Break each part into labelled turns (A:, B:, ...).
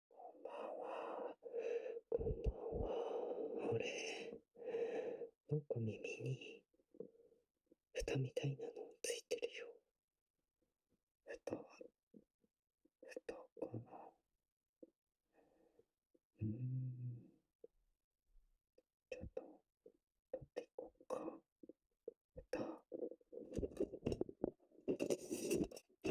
A: これなんか耳に蓋みたいなのついてるよ蓋は蓋かなうんちょっと取っていこうか蓋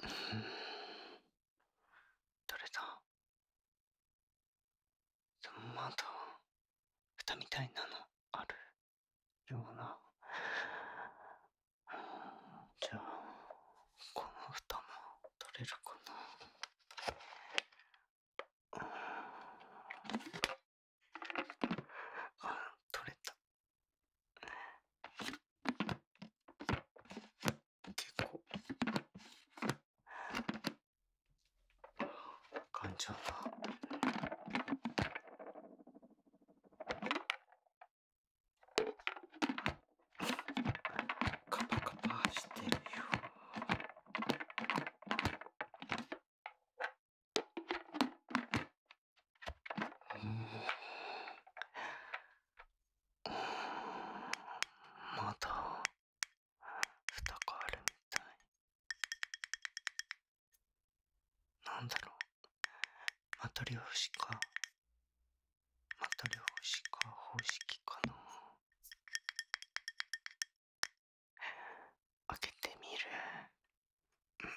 A: 取れたでもまだ蓋みたいなのあるようなじゃあこの蓋も取れるかなあ取れた結構頑丈な。カパカパしてるようん…。まだ蓋があるみたいなんだろうまたリョーシカマトリョーシカ方式かな開けてみる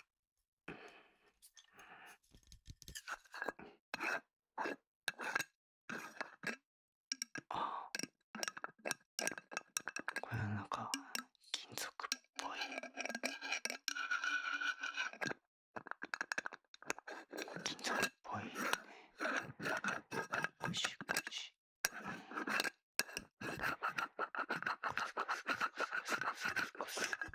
A: あこれはなんか金属っぽい金属っぽいねゴシゴシゴシゴシゴシゴシゴシゴシ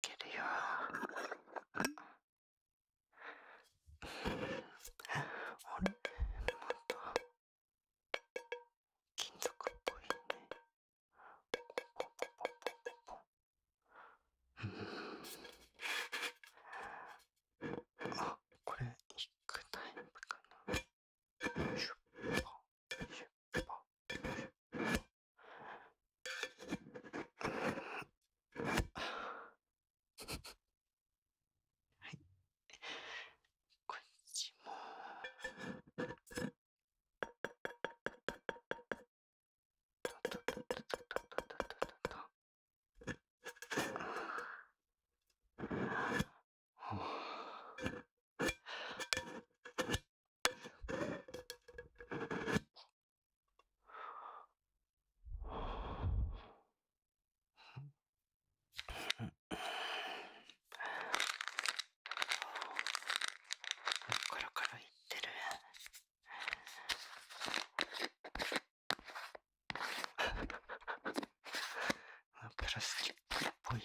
A: けるよあれまた金属っぽいねポあこれヒックタイムかなはいこっちもととととととととプラスチックっぽいよ。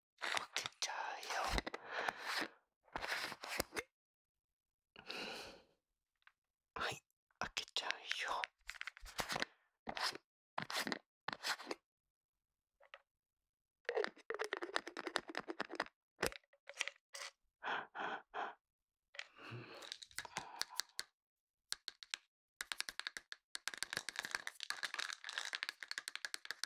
A: 負けちゃうよ。はい、開けちゃうよ。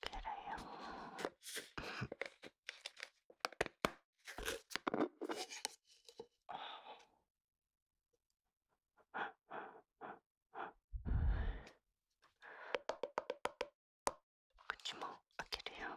A: 그래요. 그치 뭐, 아 그래요.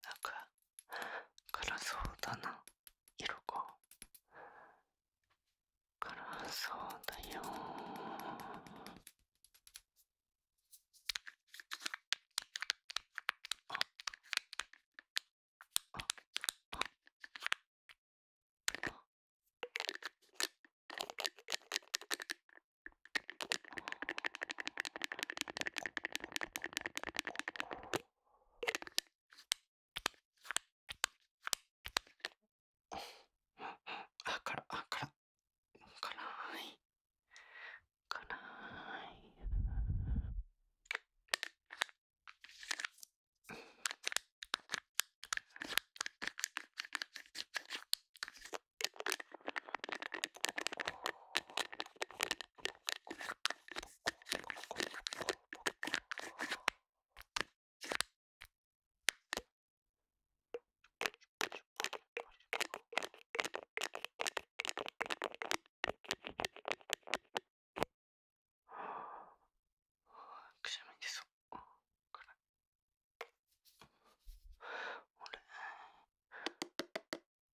A: なんか辛そうだな色が辛そうだよああからあからかない辛いくしゃみ出そう。俺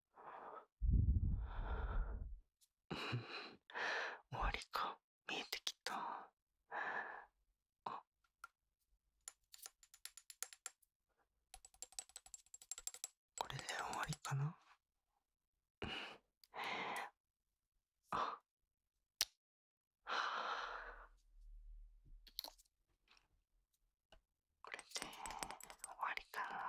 A: 終わりか見えてきたあこれで終わりかなあこれで終わりかな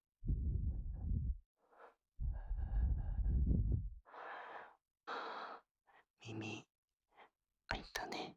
A: 耳開ったね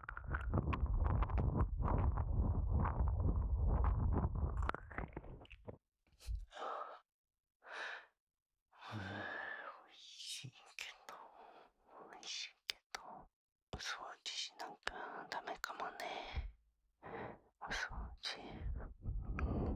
A: おいしいけどおいしいけどお掃除しなんかダメかもねお掃除、うん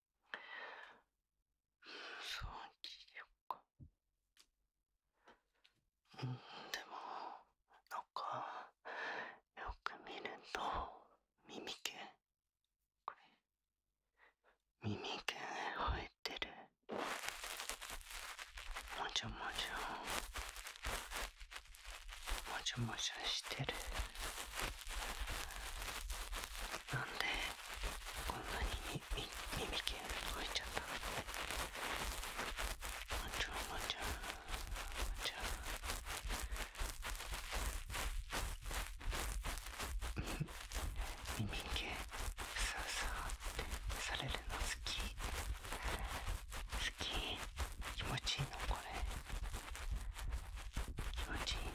A: そう聞いよっかうんでもなんかよく見ると耳毛これ耳毛生えてるもじゃもじゃもじゃもじゃしてるなんでこんなに耳毛入っちゃったもちろんもちろんもちろん耳毛さあさあってされるの好き好き気持ちいいのこれ気持ちいいん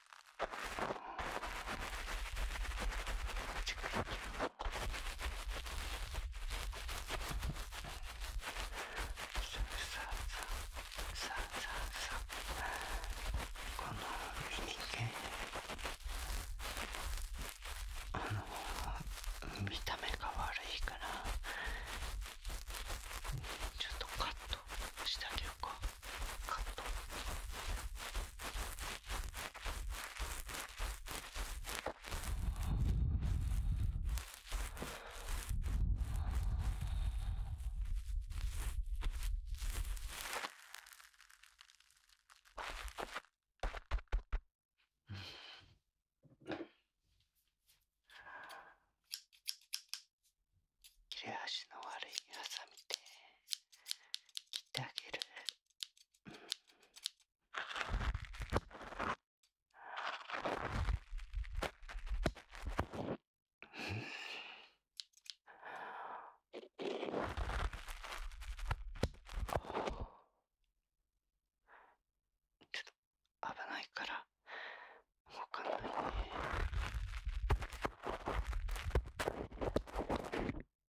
A: こちのあの見た目が悪いからちょっとカットしてあげようかカット。切れ端の悪いハサミで。切ってあげる。ちょっと危ないから動かないね。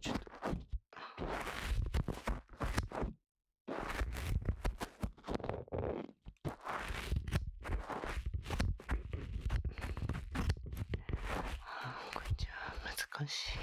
A: ちょっと。あこれじは難しい。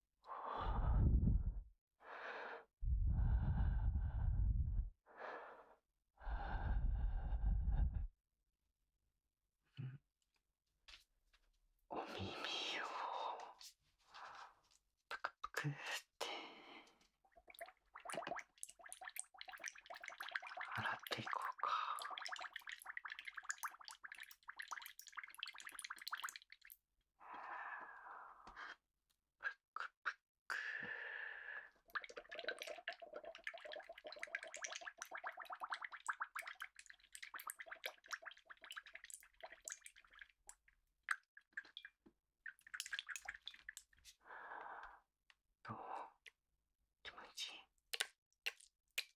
A: お耳をぷくぷくって洗っていこうか。どう気持ちいい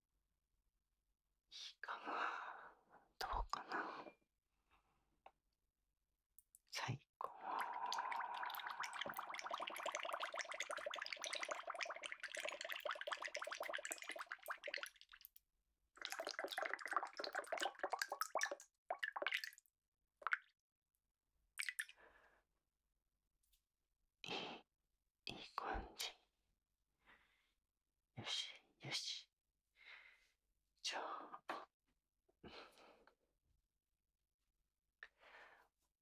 A: いいかなどうかな最高いいいい感じよしよしじゃあ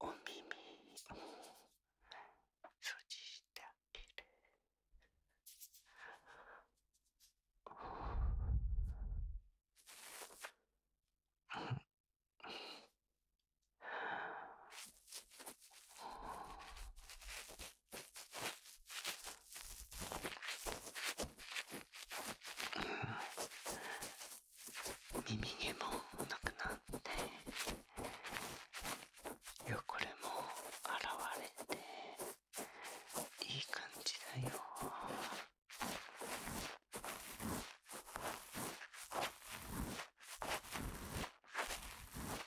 A: お耳を閉じてあげるうん、耳毛もなくなって汚れも洗われていい感じだよ。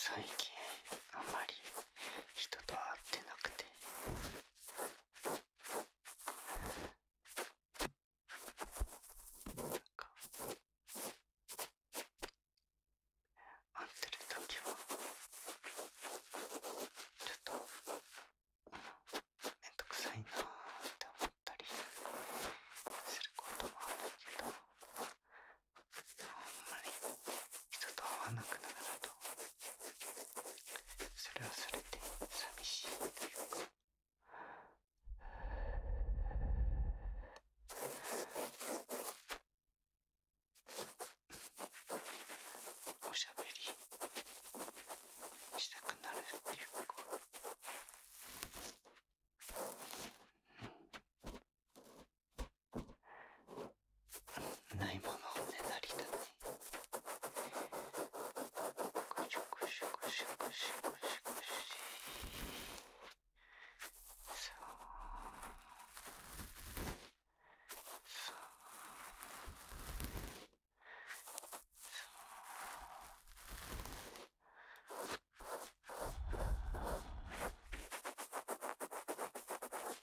A: 最近あんまり。人と会ってなくてなんか会ってる時はちょっと面倒くさいなって思ったりすることもあるけど。あんまり人と会わなくなるなとそれはそれで寂しいというか。おしゃべりしたくなるっていうか、うん、ないものをねなりたねぐしゅぐしゅぐしゅぐしゅぐしゅぐしゅそうそうそう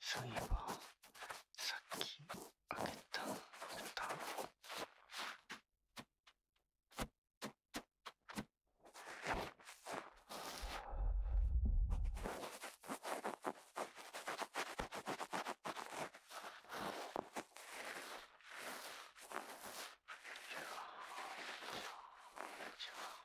A: そういえばさっきあげた蓋じゃあじゃあ。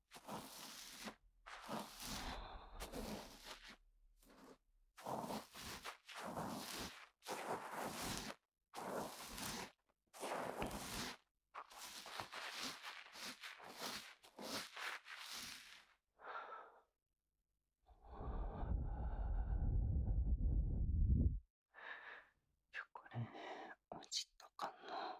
A: これ落ちたかな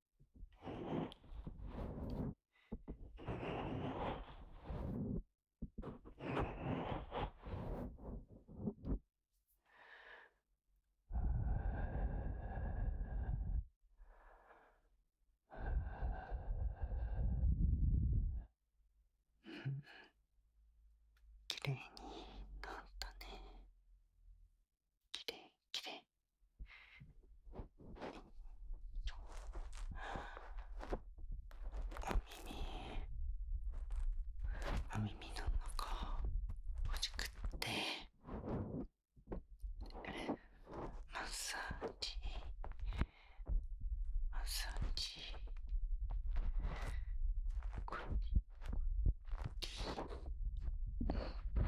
A: 綺麗になったね。綺麗綺麗お耳、お耳の中欲しくって、マッサージ、マッサージ、これ、うん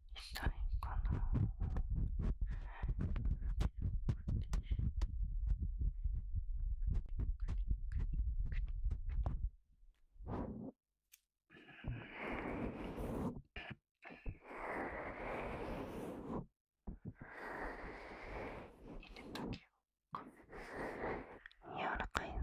A: 痛いかな柔らかいな。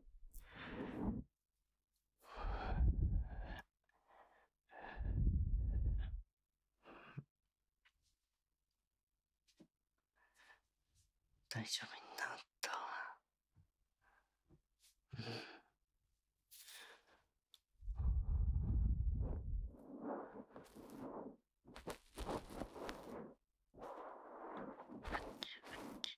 A: うん。大丈夫になったうんあっちあっち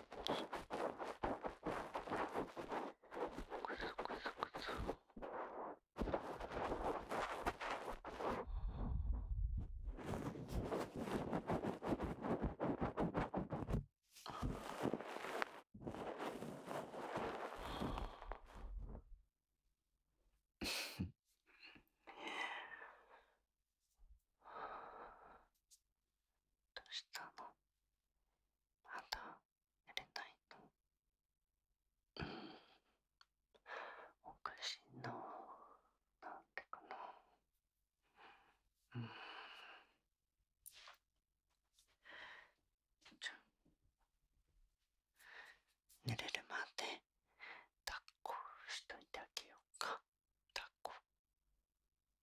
A: どうしたのまだ寝れないのうんおかしいななんでかなうんじゃ寝れるまで抱っこしといてあげようか抱っこ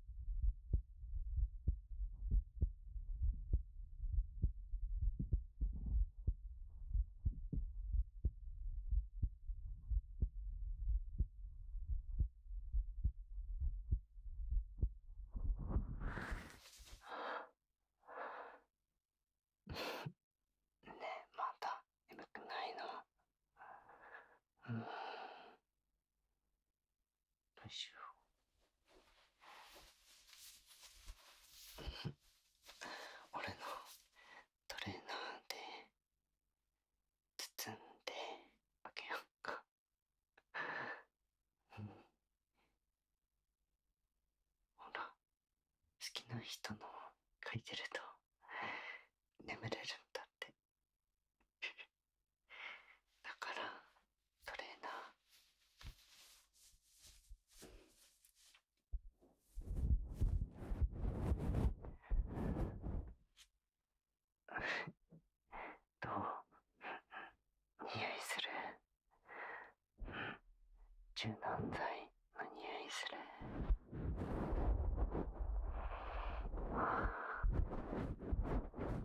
A: ねえまた眠くないのよいしょ俺のトレーナーで包んであげようかうんほら好きな人の書いてると眠れるんだって だからトレーナーどう匂いする柔軟剤の匂いするああ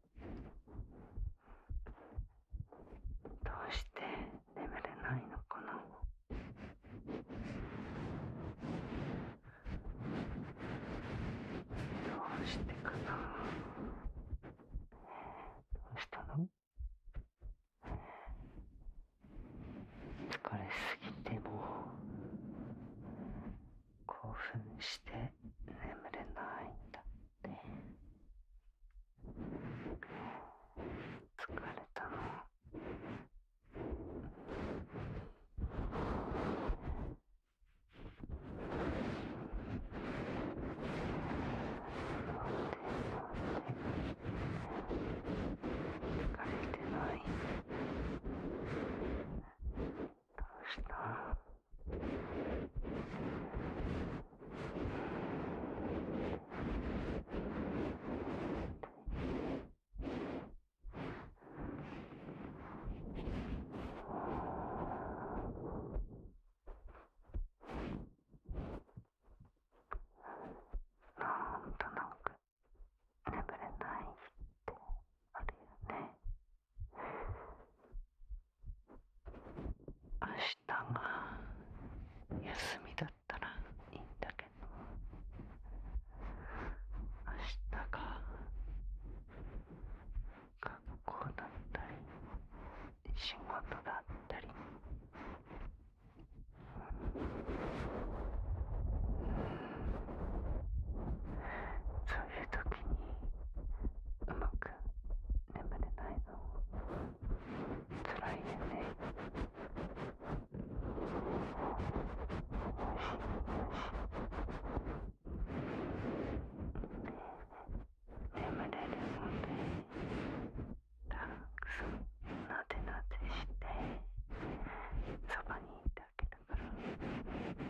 A: どうして眠れないのかなどうしてかなどうしたの疲れすぎても興奮して眠れないんだって疲れたの疲れてない。したなんとなく眠れないってあるよね。明日が休みだったらいいんだけど明日が学校だったり仕事だったり、うん、そういう時にうまく眠れないのつらいですね眠れるのでたくさんなでなでしてそばにいてあげるから。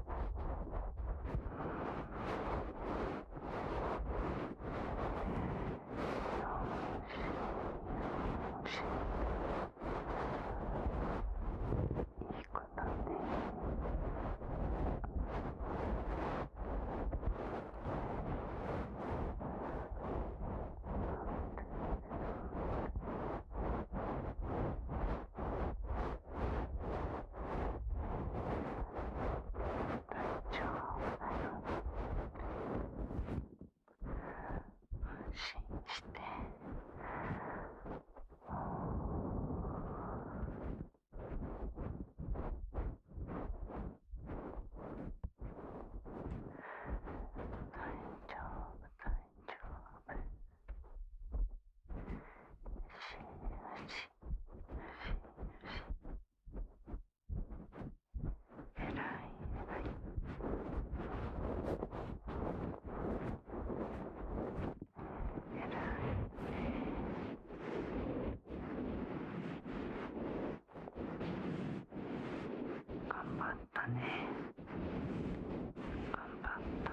A: いい子だね。体調を安心して大丈夫だよ。頑張ったね。頑張った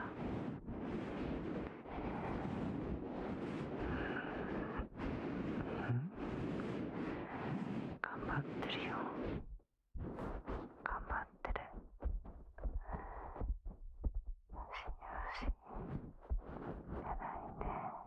A: うん頑張ってるよ頑張ってる死には死にじゃないね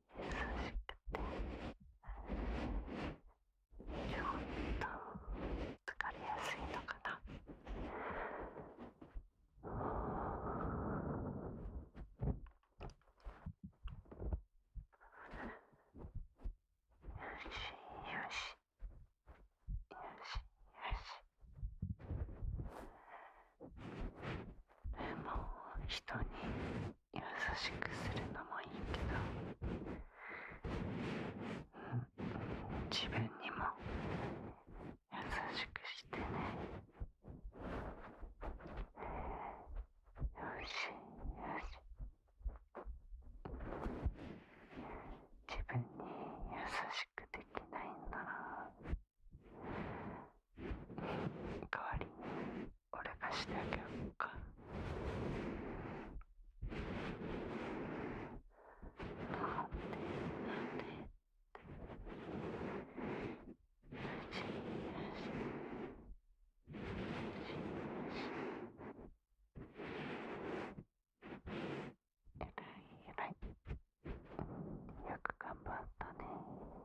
A: しくてちょっと疲れやすいのかな。よしよし。よしよしも人に優しくするのもいいけど、うん、自分にも優しくしてねよしよし自分に優しくできないんだな代わりに俺がしてあげようかなんでなんでってよしよしよしえらいえらいよく頑張ったね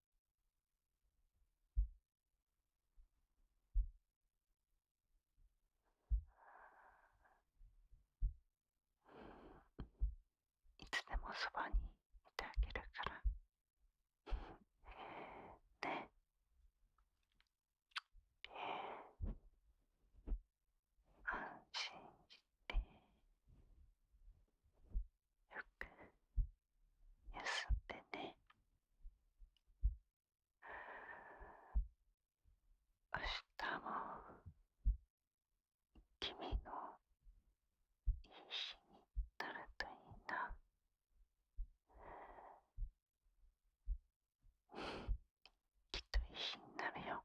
A: ん。いつでもそばにいてあげるから ねえ安心してよく休んでね明日も君のいいになるといいな きっといいになるよ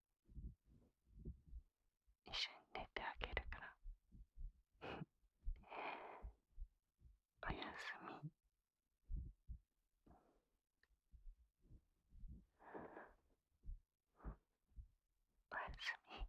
A: 一緒に出てあげるから おやすみおやすみ